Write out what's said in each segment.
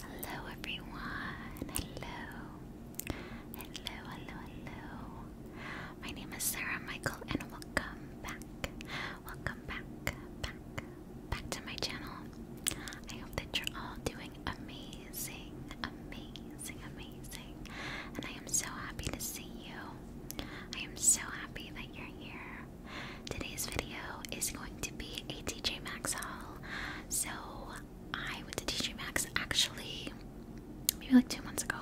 Hello everyone. Hello. Hello, hello, hello. My name is Sarah Michael and welcome back. Welcome back, back, back to my channel. I hope that you're all doing amazing, amazing, amazing. And I am so happy to see you. I am so happy that you're here. Today's video is going to be be a TJ Maxx haul. So I went to TJ Maxx actually maybe like two months ago,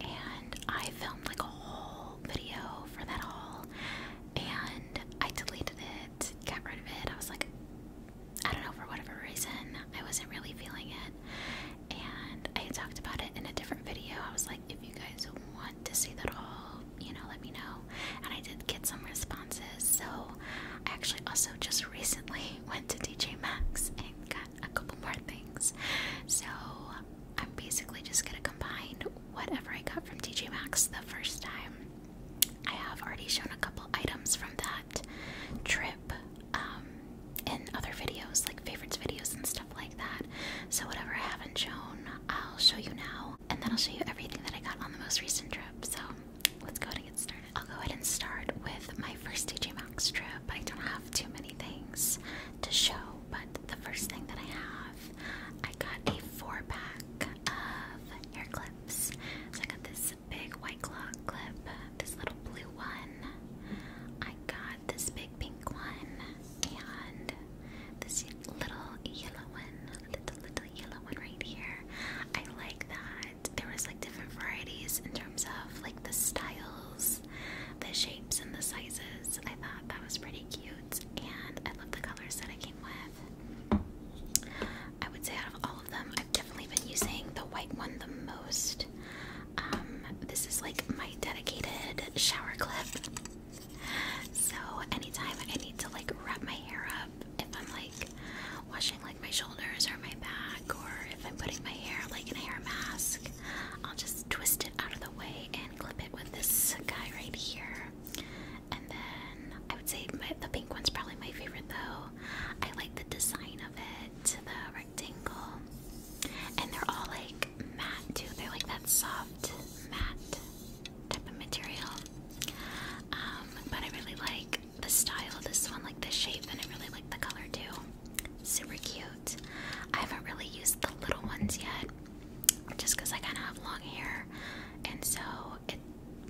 and I filmed like a whole video for that haul, and I deleted it, got rid of it. I was like, I don't know for whatever reason, I wasn't really feeling it, and I talked about it in a different video. I was like, if you guys want to see that haul, you know, let me know. And I did get some responses. So I actually also just recently went to DJ Max and got a couple more things. So I'm basically just gonna combine whatever I got from DJ Max the first time. I have already shown a couple items from that trip um, in other videos, like favorites videos and stuff like that. So, whatever I haven't shown, I'll show you now, and then I'll show you everything that I got on the most recent trip. So, let's go ahead and get started. I'll go ahead and start with my first DJ Maxx trip. I don't have too many things to show, but the first thing that I have, I got a four pack of hair clips. So I got this big white claw clip, this little blue one. I got this big pink one and this little yellow one little, little yellow one right here. I like that. There was like different varieties in terms of like the styles, the shapes, and the sizes. I thought that was pretty cute, and I love the colors that I came with. I would say out of all of them, I've definitely been using the white one the most. Um, this is like my dedicated shower clip. So anytime I need to like wrap my hair up if I'm like washing like my shoulders or my back, or if I'm putting my hair like in a hair mask, I'll just twist it out of the way and clip it with this guy right here. And then I would say the pink one's probably my favorite though. I like the design of it, the rectangle, and they're all like matte too. They're like that soft matte type of material. Um, but I really like the style of this one, like the shape, and I really like the color too. Super cute. I haven't really used the little ones yet, just because I kind of have long hair, and so it,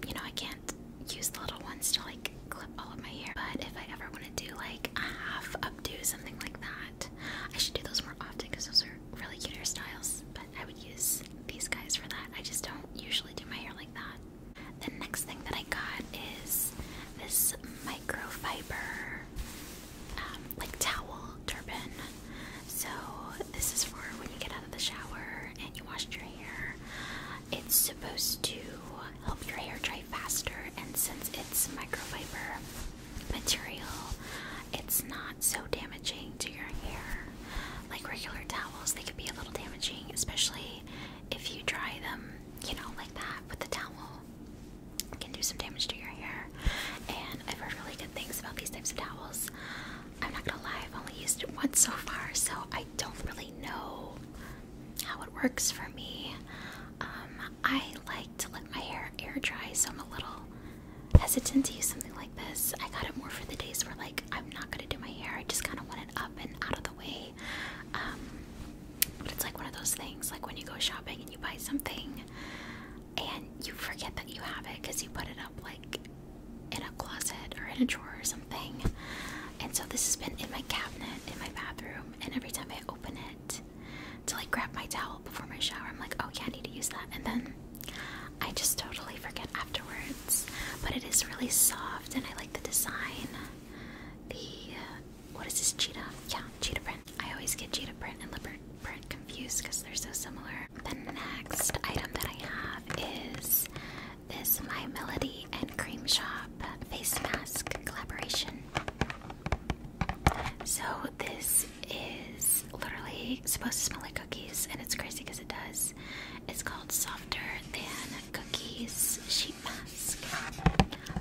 you know, I can't use the little ones to like clip all of my hair. But if I ever want to do like a half updo, something like that, I should do those more often because those are really cute hairstyles. But I would use these guys for that. I just don't usually do my hair like that. The next thing that I got is this microfiber um, like towel turban. So this is for when you get out of the shower and you washed your hair. It's supposed to help your hair dry faster, and since it's microfiber material, it's not so damaging to your hair. Like regular towels, they could be a little damaging, especially if you dry them, you know, like that with the towel. can do some damage to your hair. And I've heard really good things about these types of towels. I'm not gonna lie, I've only used it once so far, so I don't really know how it works for me. Um, I like to let my hair air dry, so I'm a little hesitant to use something like this. I got it more for the days where like I'm not gonna do my hair. I just kind of want it up and out of the way. Um, but it's like one of those things like when you go shopping and you buy something and you forget that you have it because you put it up like in a closet or in a drawer or something. And so this has been in my cabinet in my bathroom, and every time I open it to like grab my towel before my shower, I'm like, oh yeah, I need to use that. And then I just totally forget afterwards, but it is really soft and I like the design. The uh, what is this cheetah? Yeah, cheetah print. I always get cheetah print and leopard print confused because they're so similar. The next item that I have is this My Melody and Cream Shop face mask collaboration. So this is literally supposed to smell like cookies, and it's crazy because it does. It's called Softer Than Cookies Sheet Mask.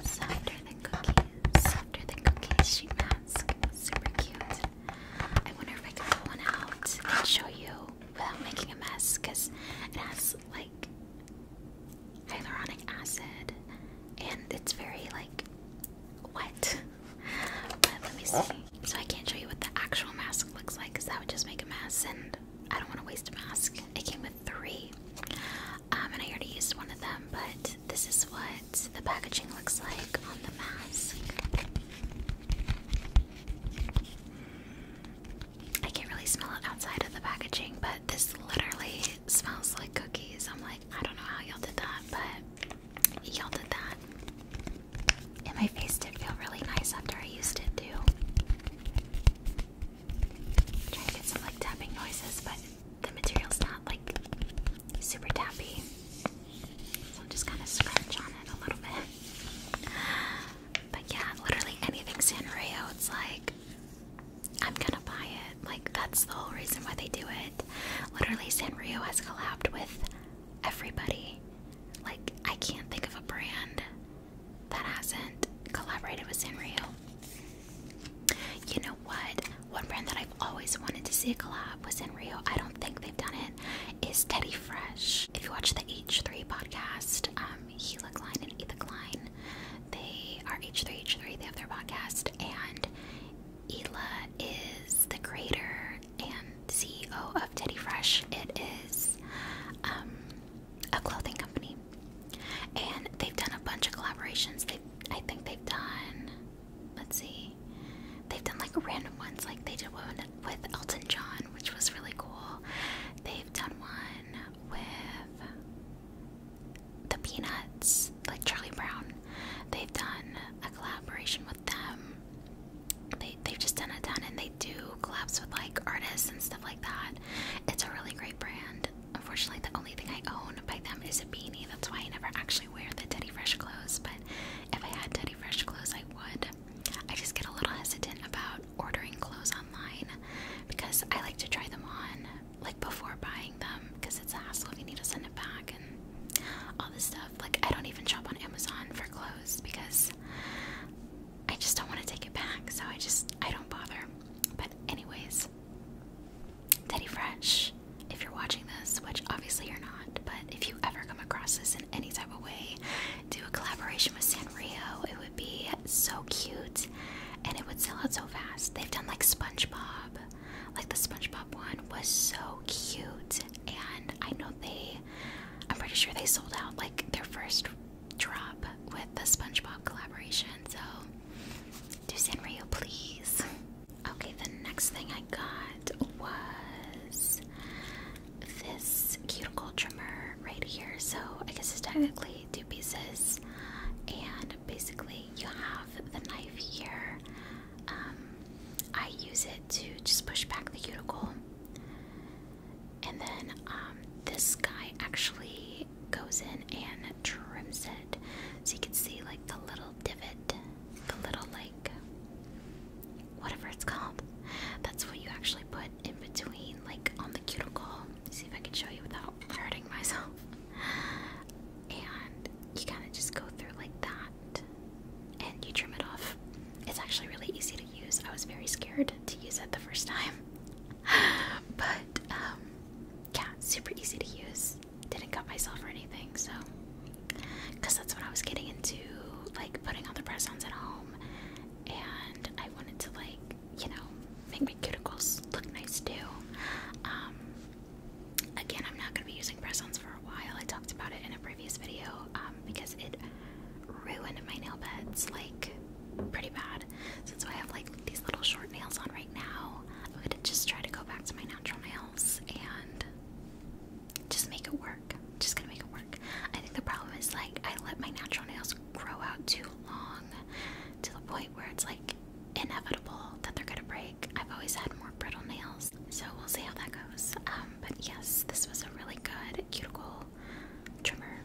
Softer Than Cookies. Softer Than Cookies Sheet Mask. Super cute. I wonder if I can pull one out and show you without making a mess because it has like hyaluronic acid and it's very like wet but let me see. So I can't show you what the actual mask looks like because that would just make a mess, and I don't want to waste a mask. It came with three, um, and I already used one of them. But this is what the packaging looks like on the mask. I can't really smell it outside of the packaging, but this literally smells like cookies. I'm like, I don't know how y'all did that, but y'all that. And my face did feel really nice after I used it too. trying to get some like tapping noises, but the material's not like super tappy. So I'm just kind of scratch on it a little bit. But yeah, literally anything Sanrio, it's like I'm gonna buy it. Like that's the whole reason why they do it. Literally Sanrio has collabed with everybody. Like, I can't think of a brand that hasn't collaborated with Sanrio. You know what? One brand that I've always wanted to see a collab with Sanrio, I don't think they've done it, is Teddy Fresh. If you watch the H3 podcast, um, Gila Klein and Etha Klein, they are H3H3, they have their podcast, and Ela is the creator and CEO of Teddy Fresh. It is um, a clothing company, and they've done a bunch of collaborations. They, I think, they've done. Let's see, they've done like random ones, like they did one with Elton John, which was really cool. They've done one with the Peanuts, like Charlie Brown. They've done a collaboration with them they, they've just done a ton and they do collabs with like artists and stuff like that. It's a really great brand. Unfortunately, the only thing I own by them is a beanie. That's why I never actually wear the Teddy Fresh clothes. But if I had Teddy Fresh clothes, I would. I just get a little hesitant about ordering clothes online because I like to try them on like before buying them because it's a hassle if you need to send it back and all this stuff. Like I don't even shop on Amazon for clothes because I just don't want to take it back. So I just I don't bother. But anyways, Teddy Fresh, if you're watching this, which obviously you're not, but if you ever come across this in any type of way, do a collaboration with Sanrio. It would be so cute and it would sell out so fast. They've done like SpongeBob. Like the SpongeBob one was so cute and I know they I'm pretty sure they sold out like their first drop with the SpongeBob collaboration. So do Sanrio please. Okay, the next thing I got was this cuticle trimmer right here. So I guess it's technically two pieces and basically you have the knife here um, I use it to just push back the cuticle. And then um, this guy actually goes in and trims it. So you can see like the little divot, the little like whatever it's called. That's what you actually put in between, like on the cuticle. see if I can show you without hurting myself. And you kind of just go through like that and you trim it off. It's actually really easy to use. I was very scared to use it the first time. but um, yeah, super easy to use. Didn't cut myself or anything, so because that's what I was getting into, like putting on the press-ons at home, and I wanted to like, you know, make my cuticles look nice too. Um, again, I'm not gonna be using press-ons for a while. I talked about it in a previous video um, because it ruined my nail beds like pretty bad. So that's why I have like these little short nails on right now. I'm gonna just try to go back to my natural nails and just make it work. just gonna make it work. I think the problem is like I let my natural nails grow out too long to the point where it's like inevitable that they're gonna break. I've always had more brittle nails so we'll see how that goes. Um, but yes, this was a really good cuticle trimmer.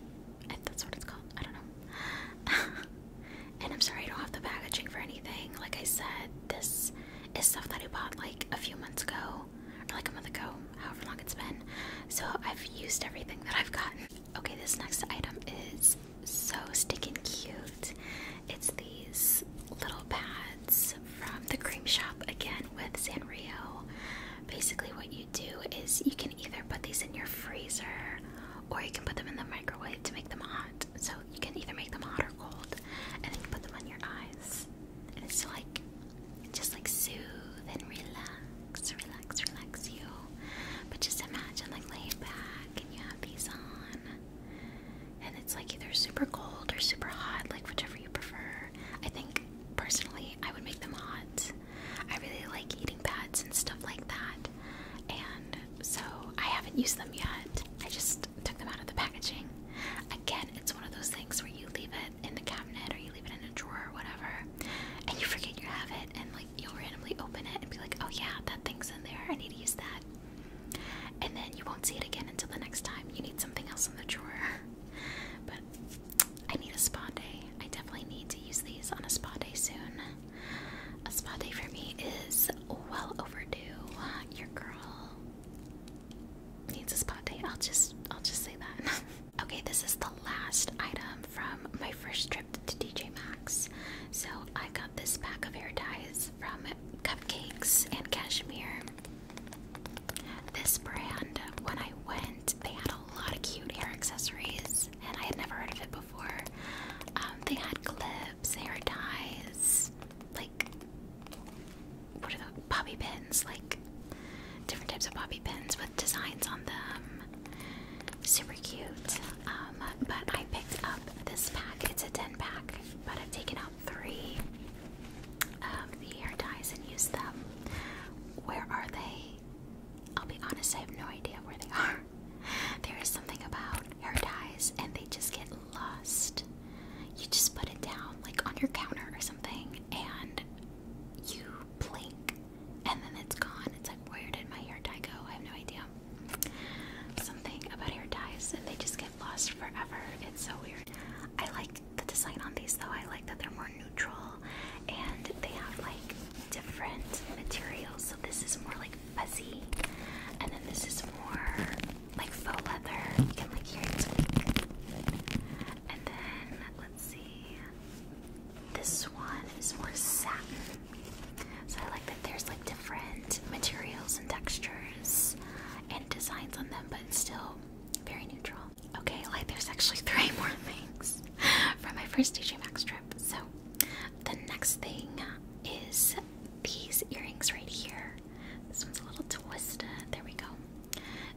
If that's what it's called. I don't know. and I'm sorry I don't have the packaging for anything. Like I said, this is stuff that I bought like a few months ago. Or like a month ago, however long it's been. So I've used everything that I've gotten. Okay, this next item is so stinking cute. It's these little pads from the cream shop again with Sanrio. Basically, what you do is you can either put these in your freezer or you can put them in the microwave to make them hot. So you can either make them hot or cold, and then you put them on your eyes. And it's like just like soothe and relax, relax, relax you. But just imagine like laying back and you have these on and it's like either super cold or super hot, like whichever you prefer. I think personally, I would make them hot. I really like eating pads and stuff like that, and so I haven't used them yet. I just took them out of the packaging. Again, it's one of those things where you leave it in the cabinet or you leave it in a drawer or whatever, and you forget you have it, and like you'll randomly open it and be like, oh yeah, that thing's in there, I need to use that and then you won't see it again until the next time. You need something else on the drawer. but I need a spa day. I definitely need to use these on a spa day soon. A spa day for me is well overdue. Your girl needs a spa day. I'll just I'll just say that. okay, this is the last item from my first trip to DJ Maxx. So I got this pack of hair ties from Cupcakes and Cashmere. This brand, when I went, they had a lot of cute hair accessories, and I had never heard of it before. Um, they had clips, hair ties, like what are the bobby pins? Like different types of bobby pins with designs on them. Super cute. Um, but I picked up this pack. It's a 10 pack, but I've taken out three the hair ties and use them. Where are they? I'll be honest, I have no idea where they are. There is something about hair ties and they just get lost. You just put it down like on your counter or something and you blink and then it's gone. It's like, where did my hair tie go? I have no idea. Something about hair ties and they just get lost forever. It's so weird. I like the design on these though. I like that they're more neutral and they have like different materials. So this is more like fuzzy, and then this is more like faux leather. You can like hear it squeak. And then let's see. This one is more satin. So I like that there's like different materials and textures and designs on them, but still very neutral. Okay, like there's actually three more things from my first DJ Max trip. So the next thing is these earrings right here. This one's a little twisted. There we go.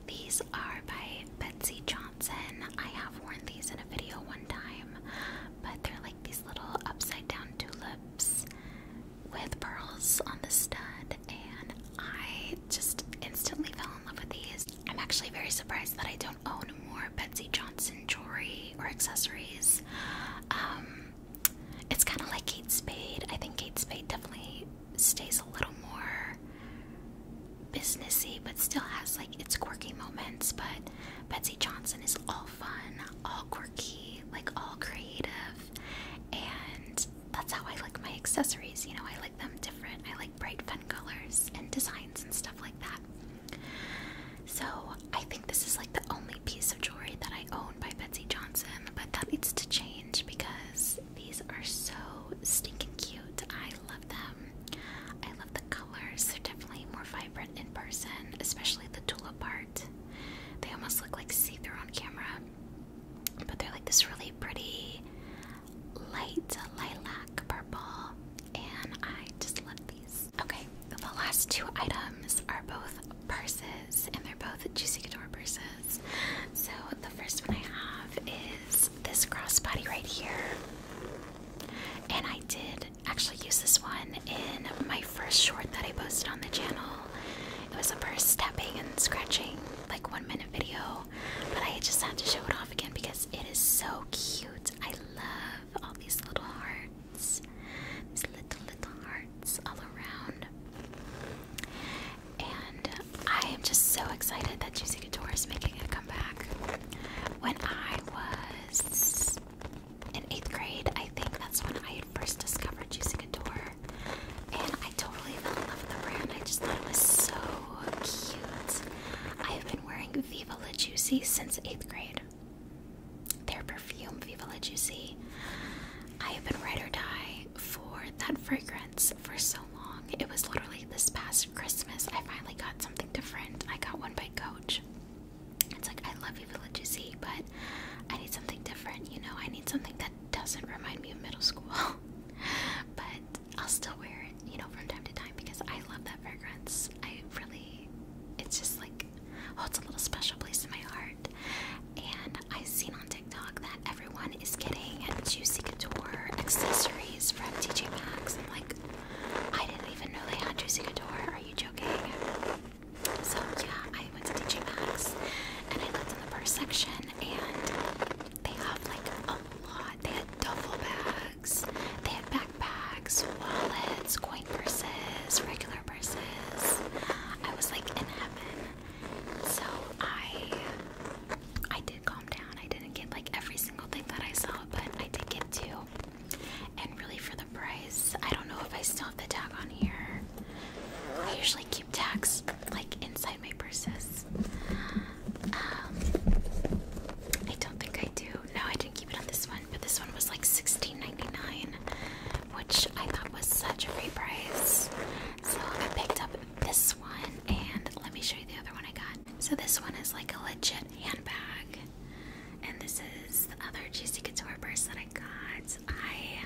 These are by Betsy Johnson. I have worn these in a video one time, but they're like these little upside down tulips with pearls on the stud, and I just instantly fell in love with these. I'm actually very surprised that I don't own more Betsy Johnson jewelry or accessories. Um, it's kind of like Kate Spade. I think Kate Spade definitely stays a little more businessy, but still has like its quirky moments. But Betsy Johnson is all fun, all quirky, like all creative and that's how I like my accessories. You know, I like them different. I like bright, fun colors and designs and stuff like that. So I think this is like the only piece of jewelry that I own by Betsy Johnson, but that needs to change because these are so stinking cute. I love them. I love the colors. They're definitely more vibrant in person, especially the tulip part. They almost look like see on camera. But they're like this really pretty light lilac purple, and I just love these. Okay, the last two items are both purses, and they're both Juicy Couture purses. So the first one I have is this crossbody right here, and I did actually use this one in my first short that I posted on the channel. It was the first stepping and scratching, like one minute video, but I just had to show it off again because it is so cute. I love all these little hearts, these little, little hearts all around. And I am just so excited that Juicy Couture is making a comeback. When I was in eighth grade, I think that's when I first discovered using Adore. And I totally fell in love with the brand. I just thought it was so cute. I have been wearing Viva La Juicy since 8th grade. Their perfume, Viva La Juicy. I have been red or die for that fragrance for so long. It was literally this past Christmas I finally got something different. I got one by Coach. It's like I love Viva La Juicy, but I need something different, you know, I need something that doesn't remind me of middle school. but I'll still wear it, you know, from time to time because I love that fragrance. I really, it's just like, oh, it's a little special place in my heart. And I've seen on TikTok that everyone is getting Juicy Couture accessories from TJ Maxx. I'm like, I didn't even know they had Juicy Couture. Are you joking? So yeah, I went to DJ Maxx and I looked in the first section and they have like a lot. They had duffel bags, they had backpacks, wallets, coin purses, regular purses. I was like in heaven. So I I did calm down. I didn't get like every single thing that I saw, but I did get two. And really for the price, I don't know if I still the tag on here. I usually keep tags like inside my purses. Um, I don't think I do. No, I didn't keep it on this one, but this one was like $16.99, which I thought was such a great price. So I picked up this one, and let me show you the other one I got. So this one is like a legit handbag, and this is the other Juicy Couture purse that I got. I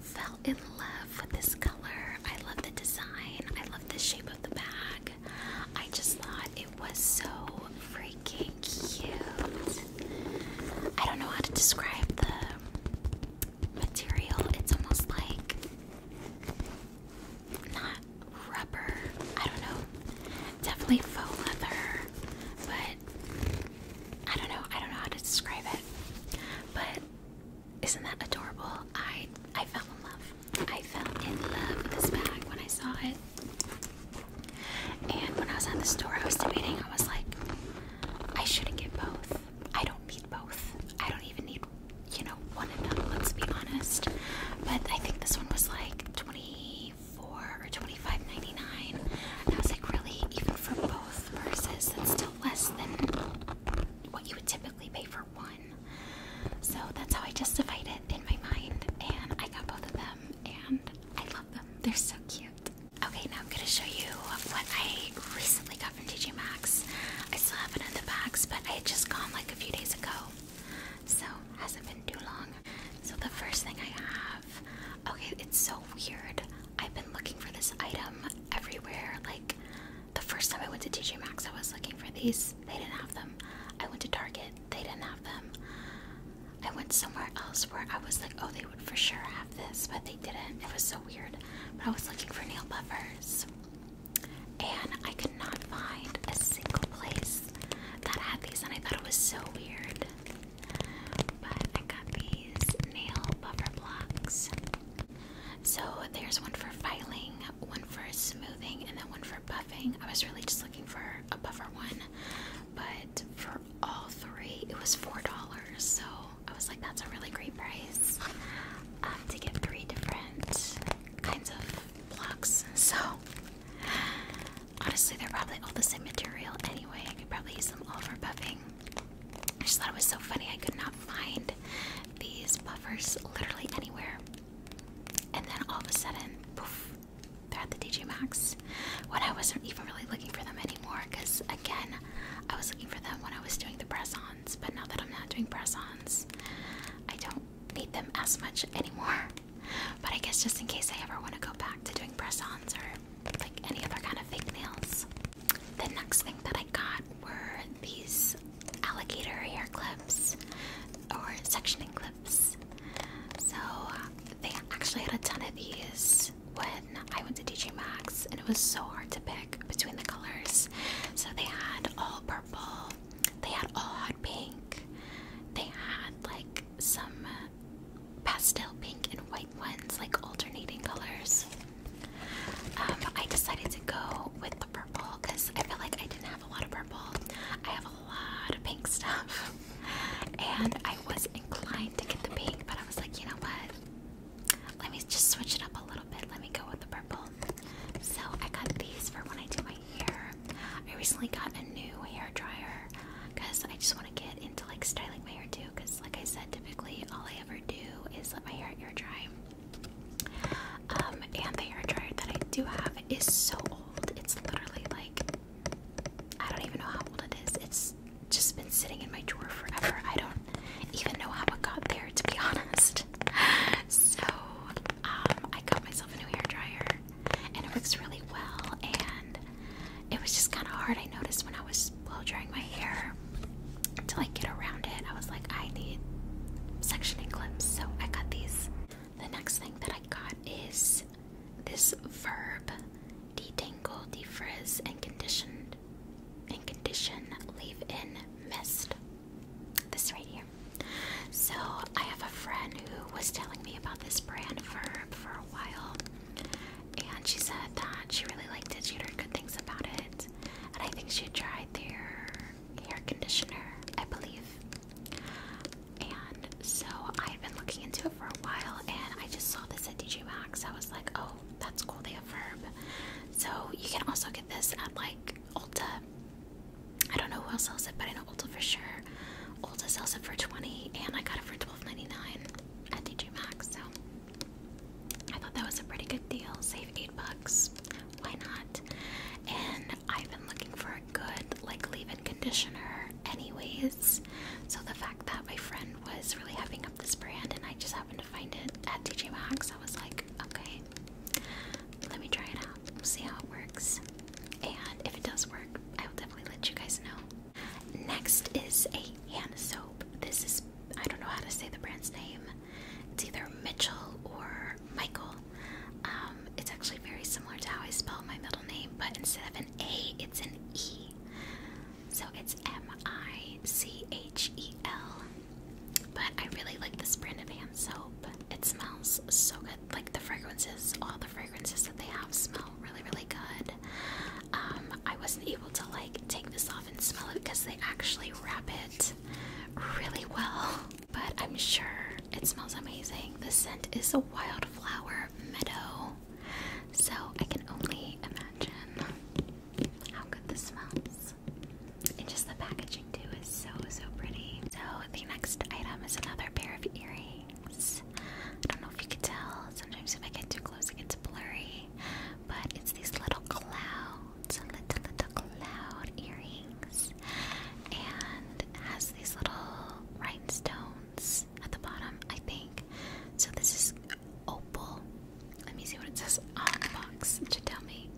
fell in love with this color. I love the design, I love the shape of the bag. I just thought it was so freaking cute. I don't know how to describe the material, it's almost like not rubber, I don't know, definitely faux leather, but I don't know. I don't know how to describe it. But isn't that adorable? I I fell in love. I fell in love with this bag when I saw it. And when I was at the store, I was debating. I was like, I shouldn't get both. I don't need both. I don't even need, you know, one of them. Let's be honest. But I think this one was like twenty four or twenty five ninety nine. And I was like, really, even for both purses, that's still less than what you would typically pay for one. So that's how I justified it in my mind, and I got both of them, and I love them. They're so cute. Okay, now I'm gonna show you what I recently got from TJ Maxx. I still have it in the box, but I had just gone like a few days ago, so hasn't been too long. So the first thing I have Okay, it's so weird. I've been looking for this item everywhere. Like, the first time I went to TJ Maxx, I was looking for these. They didn't have them. I went to Target. They didn't have them. I went somewhere else where I was like, oh, they would for sure have this, but they didn't. It was so weird. But I was looking for nail buffers, and I could not find a single place that had these, and I thought it was so weird. But I got these nail buffer blocks. So there's one for filing, one for smoothing, and then one for buffing. I was really just looking for a buffer one, but for all three, it was $4. So I was like, that's a really great price um, to get three different kinds of blocks. So honestly, they're probably all the same material anyway. I could probably use them all for buffing. I just thought it was so funny. I could not find these buffers literally anywhere. And then all of a sudden, poof, they're at the DJ Maxx. When I wasn't even really looking for them anymore, because again, I was looking for them when I was doing the press ons. But now that I'm not doing press ons, I don't need them as much anymore. But I guess just in case I ever want to go back to doing press ons or like any other kind of fake nails. The next thing that I got were these alligator hair clips or sectioning clips. So they actually had a ton of these when I went to DJ Maxx, and it was so hard to pick between the colors. So they had all purple, they had all hot pink, they had like some pastel pink and white ones, like alternating colors. Um, I decided to go with the purple because I felt like I didn't have a lot of purple. I have a lot of pink stuff, and I was inclined to get the pink, but I was like, you know what? Let me just switch it up a little bit. Let me go with the purple. So I got these for when I do my hair. I recently got a new hair dryer because I just want to get into like styling my hair. too because like I said, typically all I ever do is let my hair air dry. Um, and the hair dryer that I do have is so old. It's literally like I don't even know how old it is. It's just been sitting in my drawer forever. I don't even know how it got there, to be honest. So um, I got myself a new hair dryer, and it works really well. And it was just kind of hard. I noticed when I was blow drying my hair to like get around it, I was like, I need sectioning clips, so I got these. The next thing that I got is this Verb Detangle, Defrizz, and Conditioned and Condition Leave-In Mist. This right here. So I have a friend who was telling me about this brand Verb for a while, and she said that she really liked it. She heard good things about it, and I think she tried their hair conditioner, I believe. And so I have been looking into it for a while, and I just saw this at DJ Maxx. I was like, oh, that's cool. They have Verb. So you can also get this at like Ulta. I don't know who else sells it, but I know Ulta for sure. Ulta sells it for 20 and I got it for twelve ninety nine at DJ Maxx. So I thought that was a pretty good deal. Save eight bucks. Why not? And I've been looking for a good like leave-in conditioner anyways. So the fact that my friend was really hyping up this brand and I just happened to find it at TJ Maxx, I was like, okay, let me try it out. See how it works. And if it does work, I will definitely let you guys know. Next is a hand soap. This is, I don't know how to say the brand's name. It's either Mitchell or Michael. Um, it's actually very similar to how I spell my middle name, but instead of an A, it's an E. So it's M I C H E L. But I really like this brand of hand soap. It smells so good. Like the fragrances, all the fragrances that they have smell really, really good. Um, I wasn't able to like take this off and smell it because they actually wrap it really well. But I'm sure it smells amazing. The scent is a wildflower meadow. So I can only imagine how good this smells. And just the packaging too is so so pretty. So the next item is another pair of earrings. I don't know if you can tell. Sometimes if I get too close, it gets blurry. But it's these little clouds, little little cloud earrings, and has these little rhinestones at the bottom, I think. So this is opal. Let me see what it says on the box to tell me.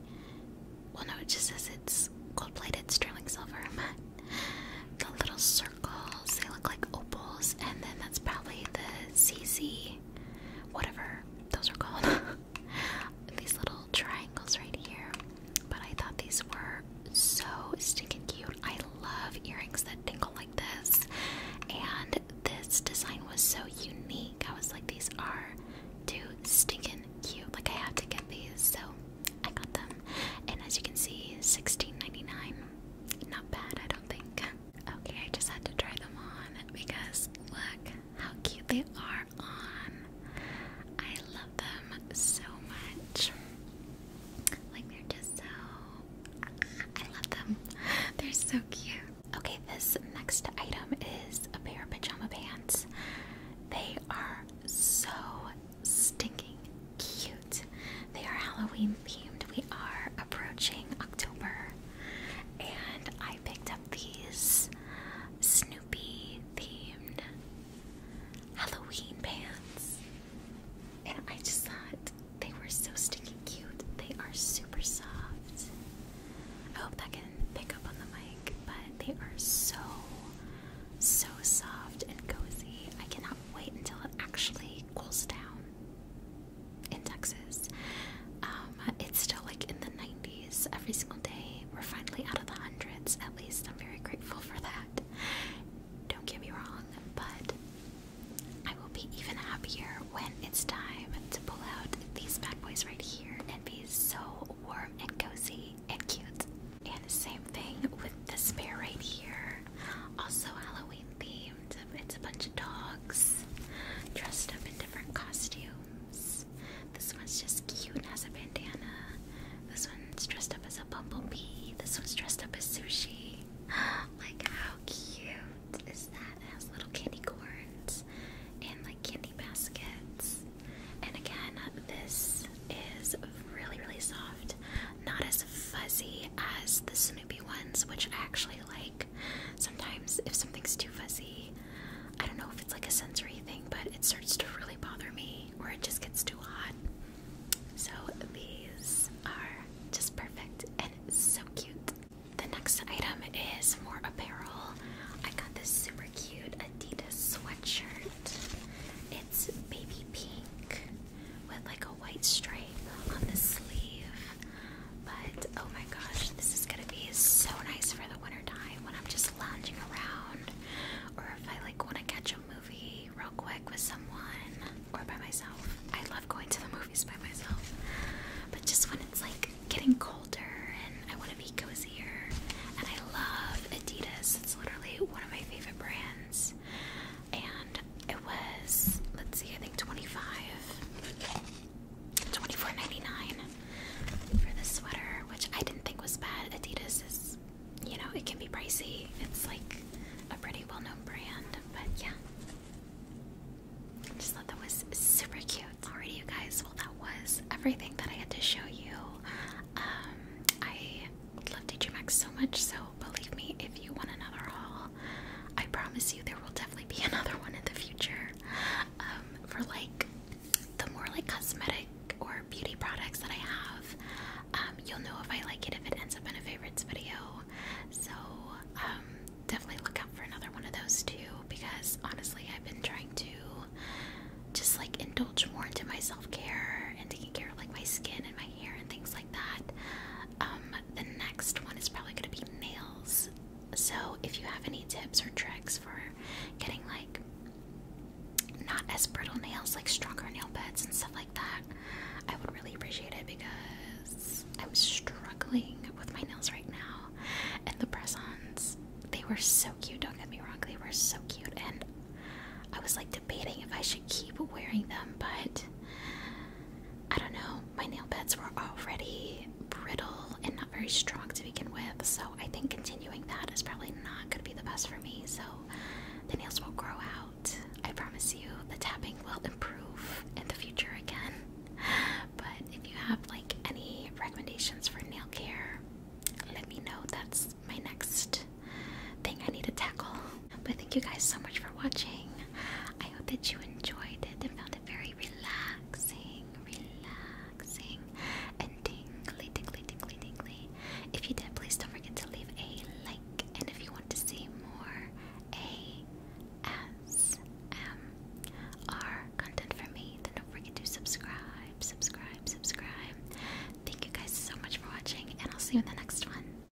Well, no, it just says it's gold-plated sterling silver. the little circle they look like opals, and then that's probably the CC, whatever those are called. these little triangles right here. But I thought these were so stinking cute. I love earrings that tinkle like this, and this design was so unique. I was like, these are too stinking cute. Like I have to get these, so I got them. And as you can see, sixteen ninety nine. Not bad, I don't think. Okay, I just had to try them on because look how cute they are on. I love them so much. Like they're just so I love them. They're so cute. Okay, this next item is a pair of pajama pants. They are so stinking cute. They are Halloween themed. We are approaching October, and I picked up these Snoopy themed Halloween pants. And I just thought they were so sticky cute. They are super soft. I hope that can pick up on the mic, but they are so, so soft and cozy. I cannot wait until it actually cools down in Texas. Um, it's still like in the 90s every single day. We're finally out of the hundreds, at least. I'm very grateful for that. Don't get me wrong, but I will be even happier when it's time to pull out these bad boys right here and be so warm and cozy and cute. And same thing with this bear right here. Also Halloween theme. It's a bunch of dogs dressed up in different costumes. This one's just cute and has a bandana. This one's dressed up as a bumblebee. This one's dressed up as sushi. like, how cute is that? It has little candy corns and like candy baskets. And again, this is really, really soft. Not as fuzzy as the Snoopy snippy ones, which I actually like. Sometimes, if something's too fuzzy, I don't know if it's like a sensory thing, but it starts to really bother me or it just gets too hot. So, these are just perfect and so cute. The next item is more apparel. I got this super cute Adidas sweatshirt, it's baby pink with like a white stripe on the sleeve. But oh my gosh, this is gonna be so nice for the wintertime when I'm just lounging around, or if I like want to catch a movie real quick with someone or by myself. I love going to the movies by myself, but just when it's like getting colder and I want to be cozier. And I love Adidas. It's literally one of my favorite brands and it was let's see, I think 25 for this sweater, which I didn't think was bad. Adidas is, you know, it can be pricey. It's like a pretty well-known brand, but yeah. Just thought that was super cute. Alrighty, you guys. Well, that was everything that I had to show you. Um, I love DJ Maxx so much, so believe me, if you want another haul, I promise you there will definitely be another one in the future. Um, for like the more like cosmetic or beauty products that I have, um, you'll know if I like it if it ends up in a favorites video. So um, definitely look out for another one of those too because honestly I've been trying to just like indulge more into my self care and taking care of like my skin and my hair and things like that. Um, the next one is probably going to be nails. So if you have any tips or tricks for getting like not as brittle nails, like stronger nail beds and stuff like that, I would really appreciate it because I'm struggling with my nails right now. And the press they were so cute. Don't get me wrong, they were so cute, and I was like debating if I should keep wearing them, but I don't know. My nail beds were already brittle and not very strong to begin with, so I think continuing that is probably not going to be the best for me. So the nails will grow out. I promise you, the tapping will improve in the future again. But if you have like any recommendations for nail care, let me know. That's my next thing I need to tackle. But thank you guys so much for watching. I hope that you enjoyed it and found it very relaxing, relaxing, and tingly, tingly, tingly, tingly. If you did, please don't forget to leave a like. And if you want to see more ASMR content from me, then don't forget to subscribe, subscribe, subscribe. Thank you guys so much for watching, and I'll see you in the next one.